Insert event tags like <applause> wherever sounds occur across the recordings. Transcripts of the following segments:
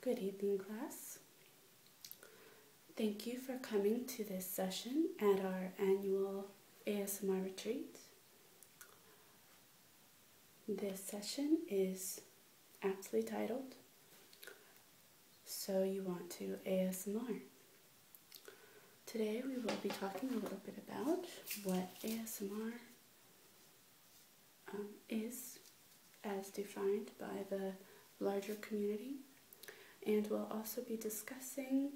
Good evening, class. Thank you for coming to this session at our annual ASMR retreat. This session is aptly titled, So You Want to ASMR. Today we will be talking a little bit about what ASMR um, is as defined by the larger community, and we'll also be discussing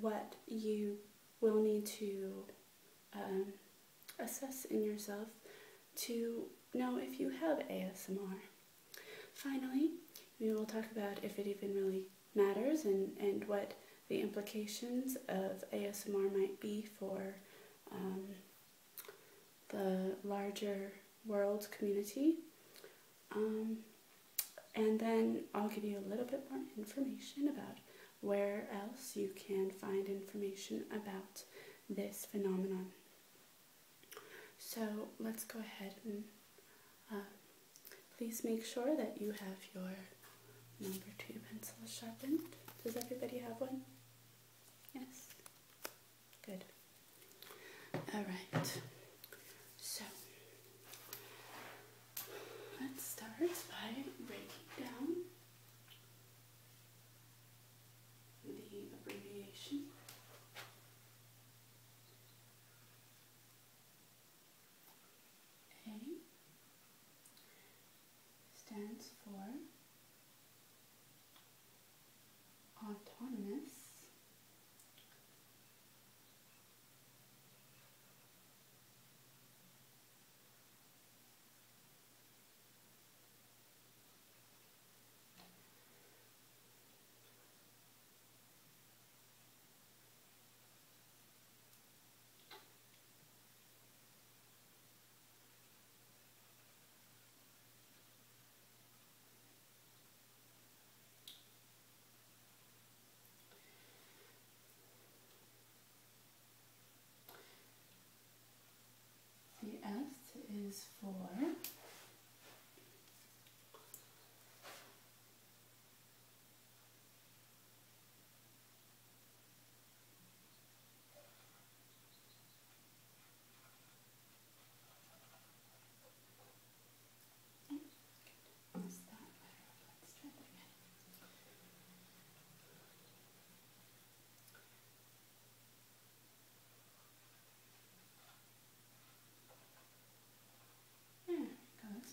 what you will need to um, assess in yourself to know if you have ASMR. Finally, we will talk about if it even really matters and, and what the implications of ASMR might be for um, the larger world community. Um, and then I'll give you a little bit more information about where else you can find information about this phenomenon. So let's go ahead and uh, please make sure that you have your Number two pencil sharpened. Does everybody have one? Yes? Good. Alright. So let's start by breaking down the abbreviation. A stands for autonomous the S is for is hmm, that better? that's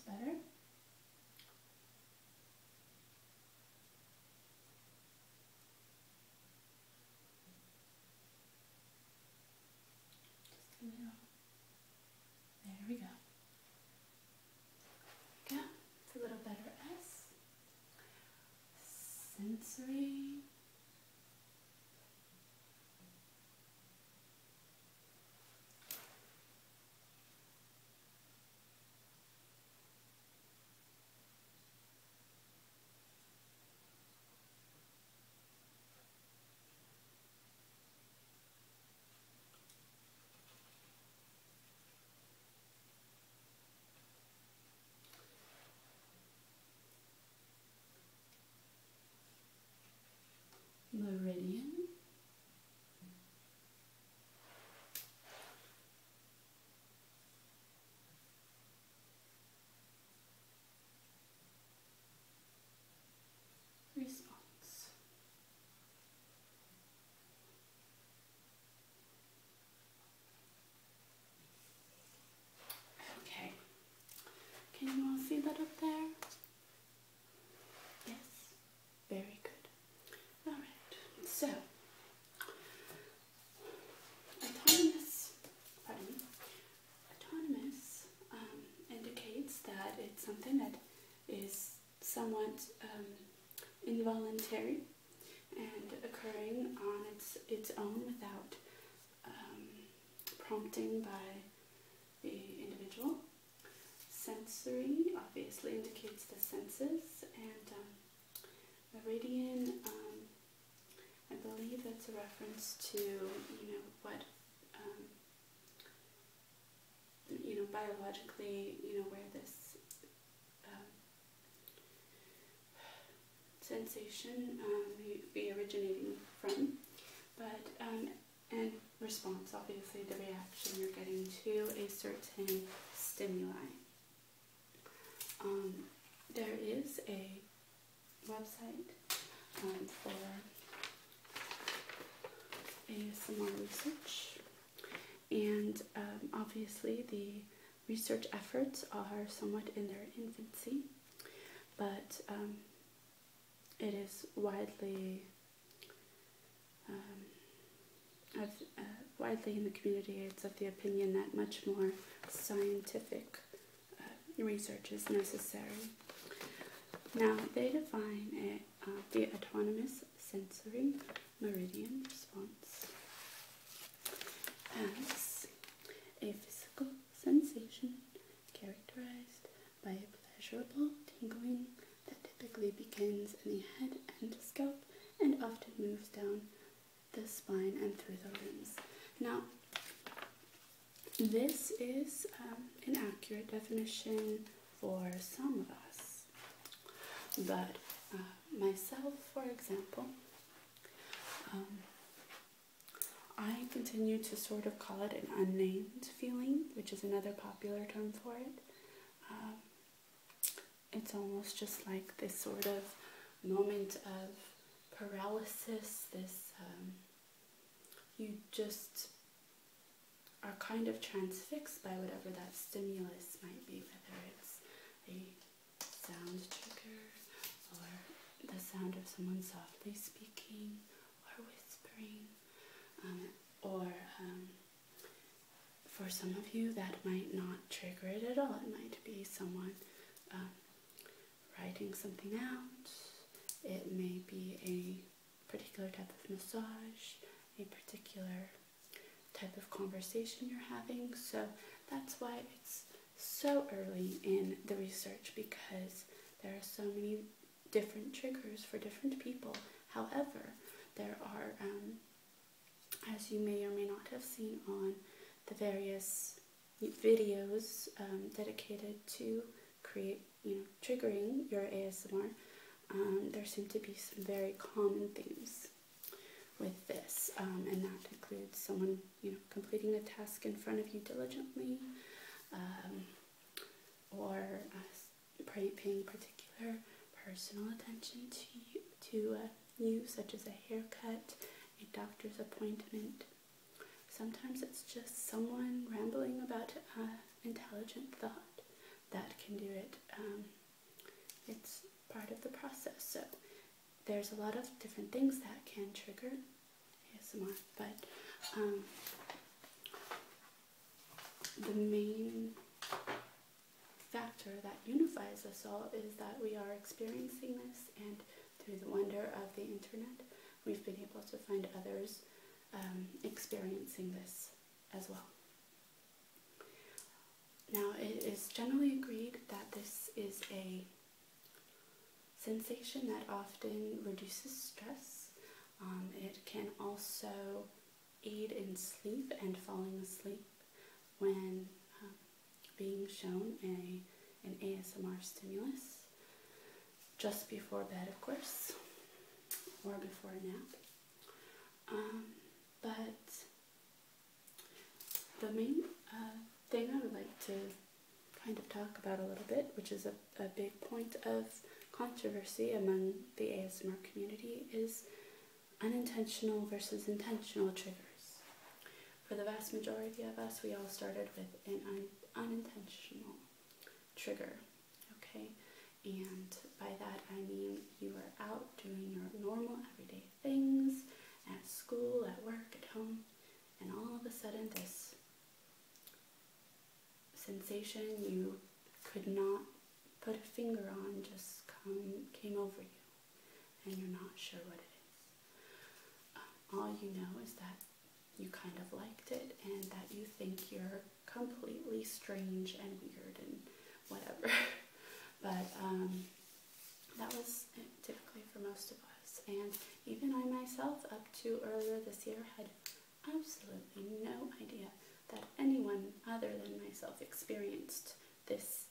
better. There we go. go. It's a little better S. Sensory meridian response. Okay, can you all see that up there? Yes, very good. Alright, so autonomous, pardon me, autonomous um, indicates that it's something that is somewhat um, involuntary and occurring on its, its own without um, prompting by the individual. Sensory obviously indicates the senses and Meridian, um, I believe that's a reference to, you know, what, um, you know, biologically, you know, where this um, sensation um, may be originating from, but, and response, obviously the reaction you're getting to a certain stimuli. Um, there is a website um, for ASMR research, and um, obviously the research efforts are somewhat in their infancy, but it is widely um, uh, widely in the community, it's of the opinion that much more scientific uh, research is necessary. Now, they define it, uh, the autonomous sensory meridian response as a physical sensation characterized by a pleasurable tingling that typically begins in the head and scalp and often moves down the spine and through the limbs. Now, this is um, an accurate definition for some of us, but uh, myself, for example, um, I continue to sort of call it an unnamed feeling, which is another popular term for it. Um, it's almost just like this sort of moment of paralysis, this um, you just are kind of transfixed by whatever that stimulus might be, whether it's a sound trigger or the sound of someone softly speaking or whispering um, or um, for some of you, that might not trigger it at all. It might be someone um, writing something out, it may be a particular type of massage, a particular type of conversation you're having. So that's why it's so early in the research because there are so many different triggers for different people. However, there are um, as you may or may not have seen on the various videos um, dedicated to create, you know, triggering your ASMR, um, there seem to be some very common themes with this, um, and that includes someone, you know, completing a task in front of you diligently, or uh, paying particular personal attention to you, to uh, you, such as a haircut, a doctor's appointment. Sometimes it's just someone rambling about uh, intelligent thought that can do it. Um, it's part of the process. So there's a lot of different things that can trigger ASMR, but um, the main factor that unifies us all is that we are experiencing this, and through the wonder of the internet, we've been able to find others um, experiencing this as well. Now, it is generally agreed that this is a sensation that often reduces stress. Um, it can also aid in sleep and falling asleep when um, being shown a, an ASMR stimulus just before bed, of course, or before a nap. Um, but the main uh, thing I would like to kind of talk about a little bit, which is a, a big point of controversy among the ASMR community, is unintentional versus intentional triggers. For the vast majority of us, we all started with an unintentional trigger, okay? And by that I mean you are out doing your normal everyday things at school, at work, at home, and all of a sudden this sensation you could not put a finger on just came over you and you're not sure what it is. Um, all you know is that you kind of liked it and that you think you're completely strange and weird and whatever. <laughs> but um, that was typically for most of us. And even I myself, up to earlier this year, had absolutely no idea that anyone other than myself experienced this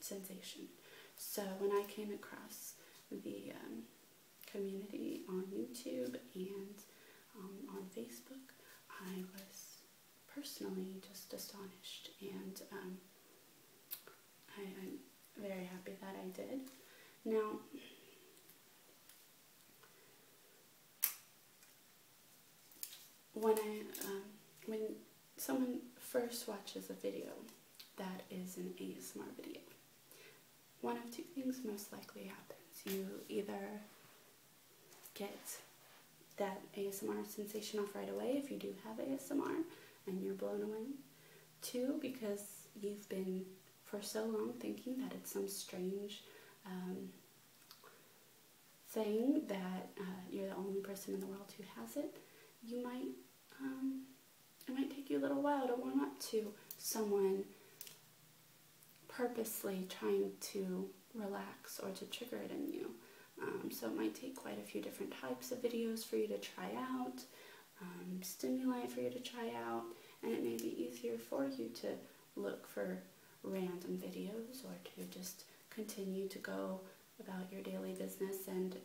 sensation. So when I came across the um, community on YouTube and um, on Facebook, I was personally just astonished and um, I'm very happy that I did. Now, when I um, when someone first watches a video that is an ASMR video, one of two things most likely happens. You either get that ASMR sensation off right away if you do have ASMR and you're blown away. Two, because you've been for so long thinking that it's some strange um, Saying that uh, you're the only person in the world who has it, you might um, it might take you a little while to warm up to someone purposely trying to relax or to trigger it in you. Um, so it might take quite a few different types of videos for you to try out, um, stimuli for you to try out, and it may be easier for you to look for random videos or to just continue to go about your daily business and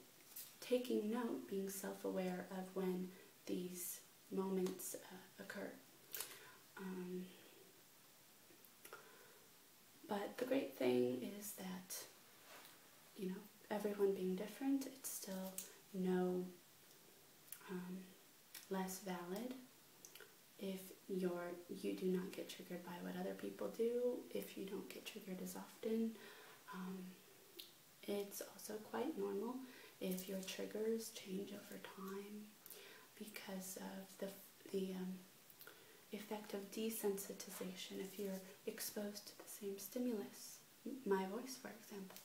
taking note, being self-aware of when these moments uh, occur. Um, but the great thing is that, you know, everyone being different, it's still no um, less valid if you you do not get triggered by what other people do, if you don't get triggered as often. Um, it's also quite normal if your triggers change over time because of the the um, effect of desensitization. If you're exposed to the same stimulus, my voice, for example,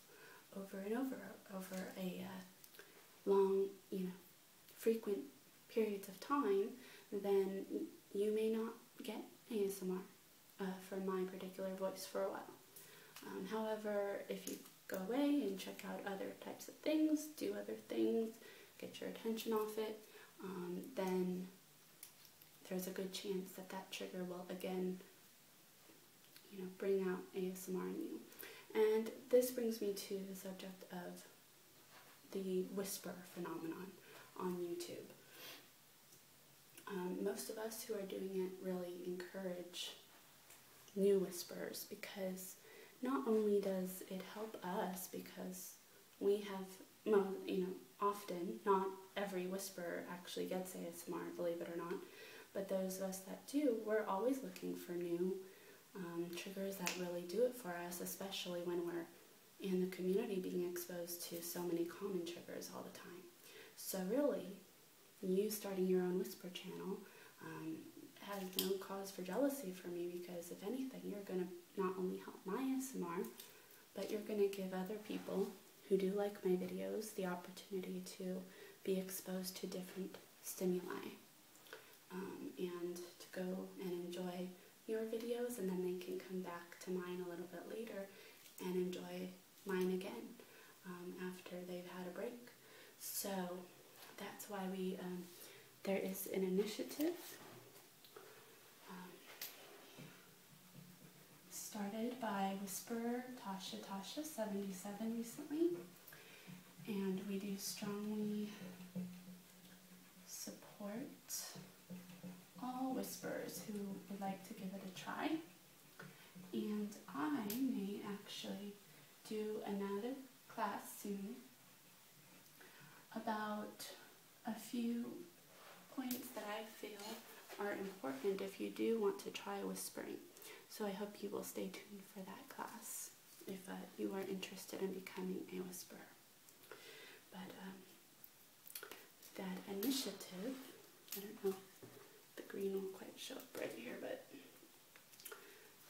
over and over over a uh, long you know frequent periods of time, then you may not get ASMR uh, for my particular voice for a while. Um, however, if you go away and check out other types of things, do other things, get your attention off it, um, then there's a good chance that that trigger will again, you know, bring out ASMR in you. And this brings me to the subject of the whisper phenomenon on YouTube. Um, most of us who are doing it really encourage new whispers because not only does it help us because we have, you know, often, not every whisperer actually gets ASMR, believe it or not, but those of us that do, we're always looking for new um, triggers that really do it for us, especially when we're in the community being exposed to so many common triggers all the time. So really, you starting your own whisper channel um, has no cause for jealousy for me because if anything, you're going to not only help my ASMR, but you're going to give other people who do like my videos the opportunity to be exposed to different stimuli. Um, and to go and enjoy your videos and then they can come back to mine a little bit later and enjoy mine again um, after they've had a break. So that's why we, um, there is an initiative started by Whisperer Tasha Tasha 77 recently and we do strongly support all whisperers who would like to give it a try. And I may actually do another class soon about a few points that I feel are important if you do want to try whispering. So I hope you will stay tuned for that class if uh, you are interested in becoming a whisperer. But that initiative, I don't know, the green will not quite show up right here, but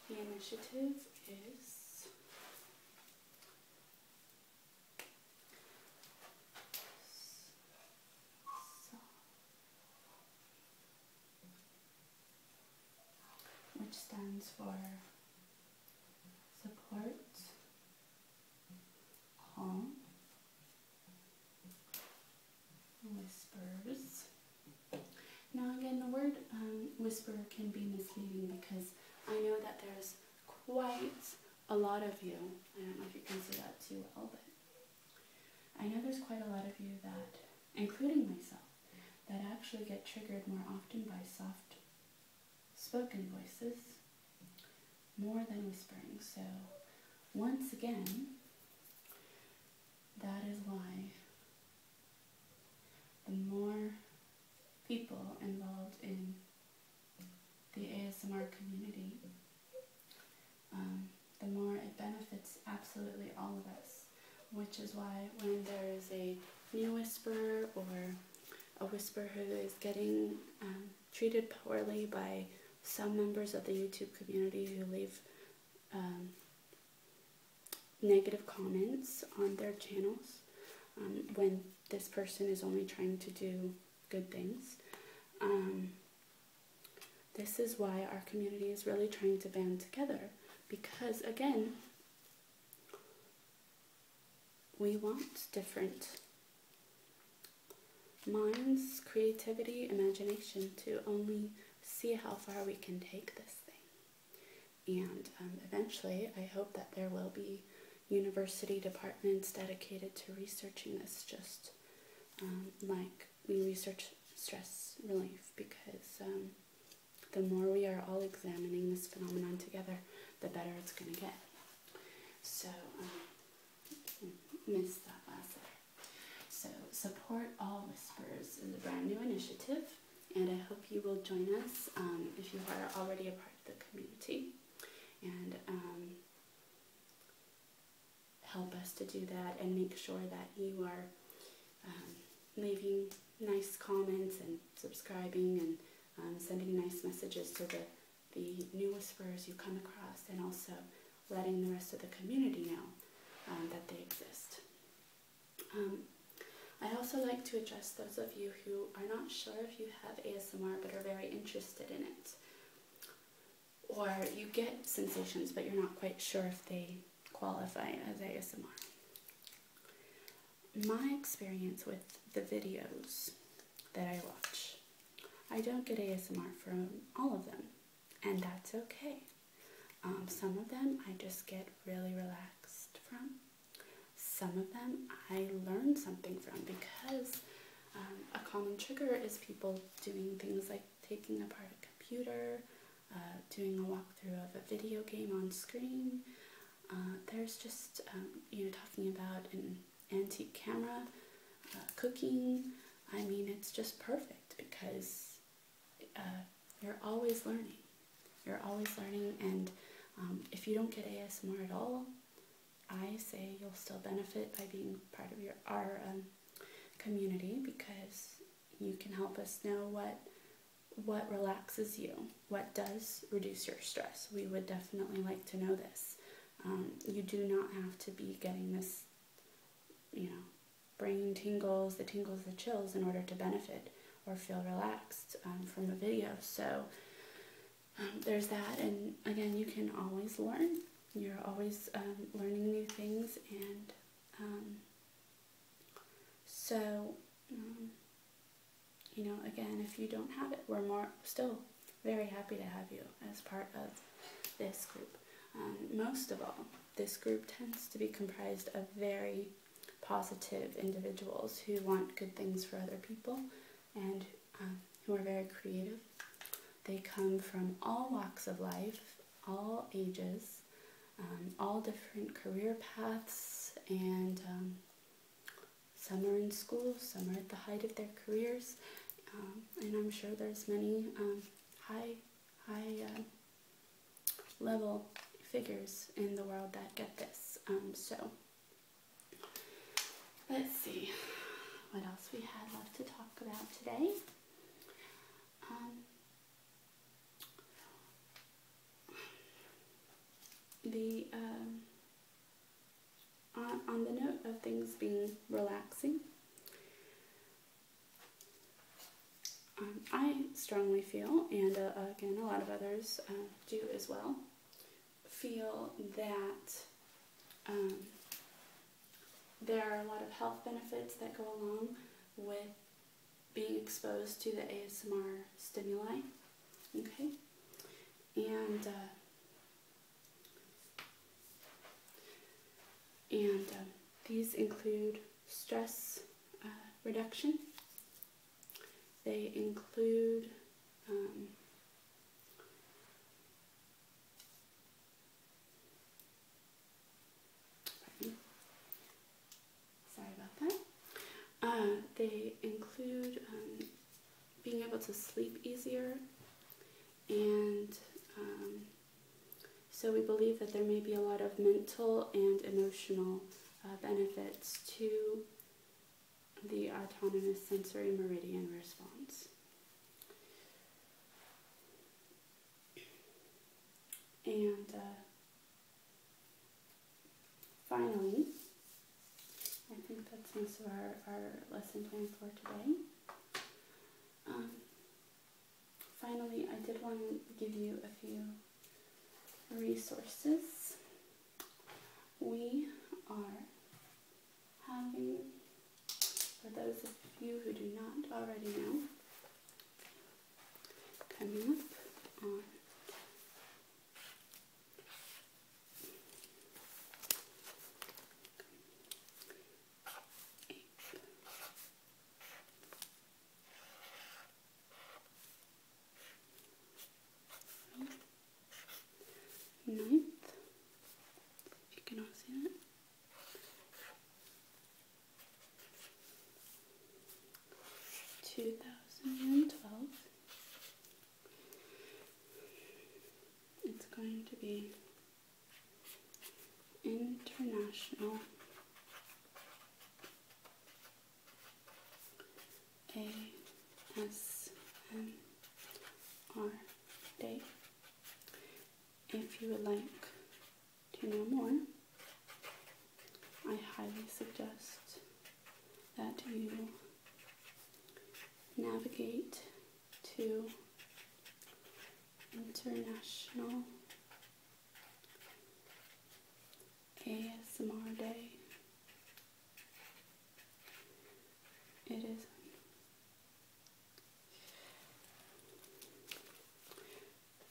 the initiative is which stands for support, calm, whispers. Now again, the word um, whisper can be misleading because I know that there's quite a lot of you. I don't know if you can see that too well, but I know there's quite a lot of you that, including myself, that actually get triggered more often by soft spoken voices more than whispering. So, once again, that is why the more people involved in the ASMR community, um, the more it benefits absolutely all of us. Which is why when there is a new whisperer or a whisper who is getting um, treated poorly by some members of the YouTube community who leave um, negative comments on their channels um, when this person is only trying to do good things. this is why our community is really trying to band together because, again, we want different minds, creativity, imagination to only see how far we can take this thing. And um, eventually, I hope that there will be university departments dedicated to researching this, just um, like we research stress relief, because um, the more we are all examining this phenomenon together, the better it's going to get. So, um, miss that So, Support All Whispers is a brand new initiative, and I hope you will join us um, if you are already a part of the community. And um, help us to do that and make sure that you are leaving nice comments and subscribing and um, sending nice messages to the, the new whisperers you come across, and also letting the rest of the community know um, that they exist. Um, I also like to address those of you who are not sure if you have ASMR but are very interested in it. Or you get sensations but you're not quite sure if they qualify as ASMR my experience with the videos that I watch. I don't get ASMR from all of them, and that's okay. Um, some of them I just get really relaxed from. Some of them I learn something from because um, a common trigger is people doing things like taking apart a computer, uh, doing a walkthrough of a video game on screen, uh, there's just, um, you know, talking about an antique camera, uh, cooking. I mean, it's just perfect because uh, you're always learning. You're always learning, and um, if you don't get ASMR at all, I say you'll still benefit by being part of your our um, community because you can help us know what what relaxes you? What does reduce your stress? We would definitely like to know this. Um, you do not have to be getting this, you know, brain tingles, the tingles, the chills in order to benefit or feel relaxed um, from a video. So um, there's that. And again, you can always learn. You're always learning new things. And so you know, again, if you don't have it, we're more still very happy to have you as part of this group. Um, most of all, this group tends to be comprised of very positive individuals who want good things for other people and um, who are very creative. They come from all walks of life, all ages, um, all different career paths, and some are in school, some are at the height of their careers, um, and I'm sure there's many um, high, high uh, level figures in the world that get this. Um, so let's see what else we had left to talk about today the um, on, on the note of things being relaxing, um, I strongly feel, and uh, again, a lot of others uh, do as well, feel that um, there are a lot of health benefits that go along with being exposed to the ASMR stimuli. Okay? And, uh, and uh, these include stress uh, reduction. They include um, Sorry about that. Uh, they include um, being able to sleep easier, and um, so we believe that there may be a lot of mental and emotional uh, benefits to the autonomous sensory meridian response. And uh, Finally, I think that's most of our, lesson plan for today. Um, finally, I did want to give you a few resources. We are having, for those of you who do not already know, coming up on Ninth, if you can all see that. 2012. It's going to be International ASMR date. If you would like to know more, I highly suggest that you navigate to International ASMR Day. It is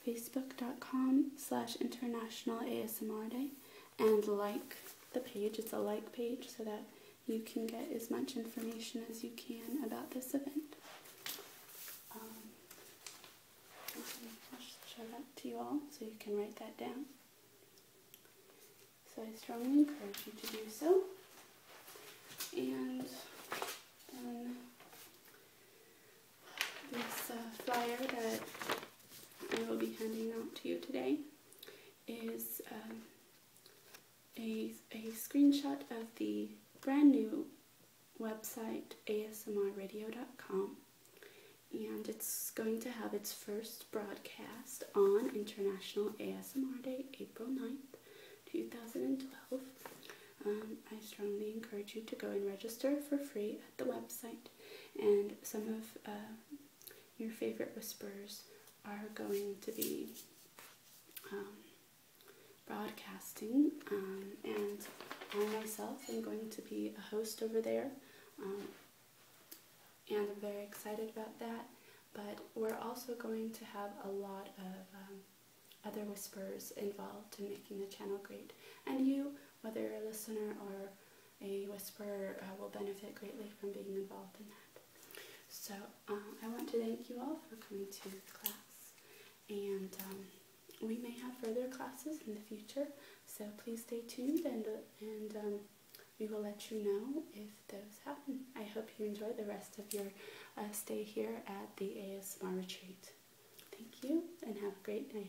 facebook.com slash international ASMR Day and like the page. It's a like page so that you can get as much information as you can about this event. Um, I'll show that to you all so you can write that down. So I strongly encourage you to do so. And then this uh, flyer that I will be handing out to you today is um, a, a screenshot of the brand new website ASMRadio.com, and it's going to have its first broadcast on International ASMR Day, April 9th, 2012. Um, I strongly encourage you to go and register for free at the website. And some of uh, your favorite whispers are going to be um, broadcasting. Um, and I myself am going to be a host over there. Um, and I'm very excited about that. But we're also going to have a lot of um, other whispers involved in making the channel great. And you, whether you're a listener or a whisperer uh, will benefit greatly from being involved in that. So um, I want to thank you all for coming to class, and um, we may have further classes in the future. So please stay tuned, and uh, and um, we will let you know if those happen. I hope you enjoy the rest of your uh, stay here at the ASMR retreat. Thank you, and have a great day.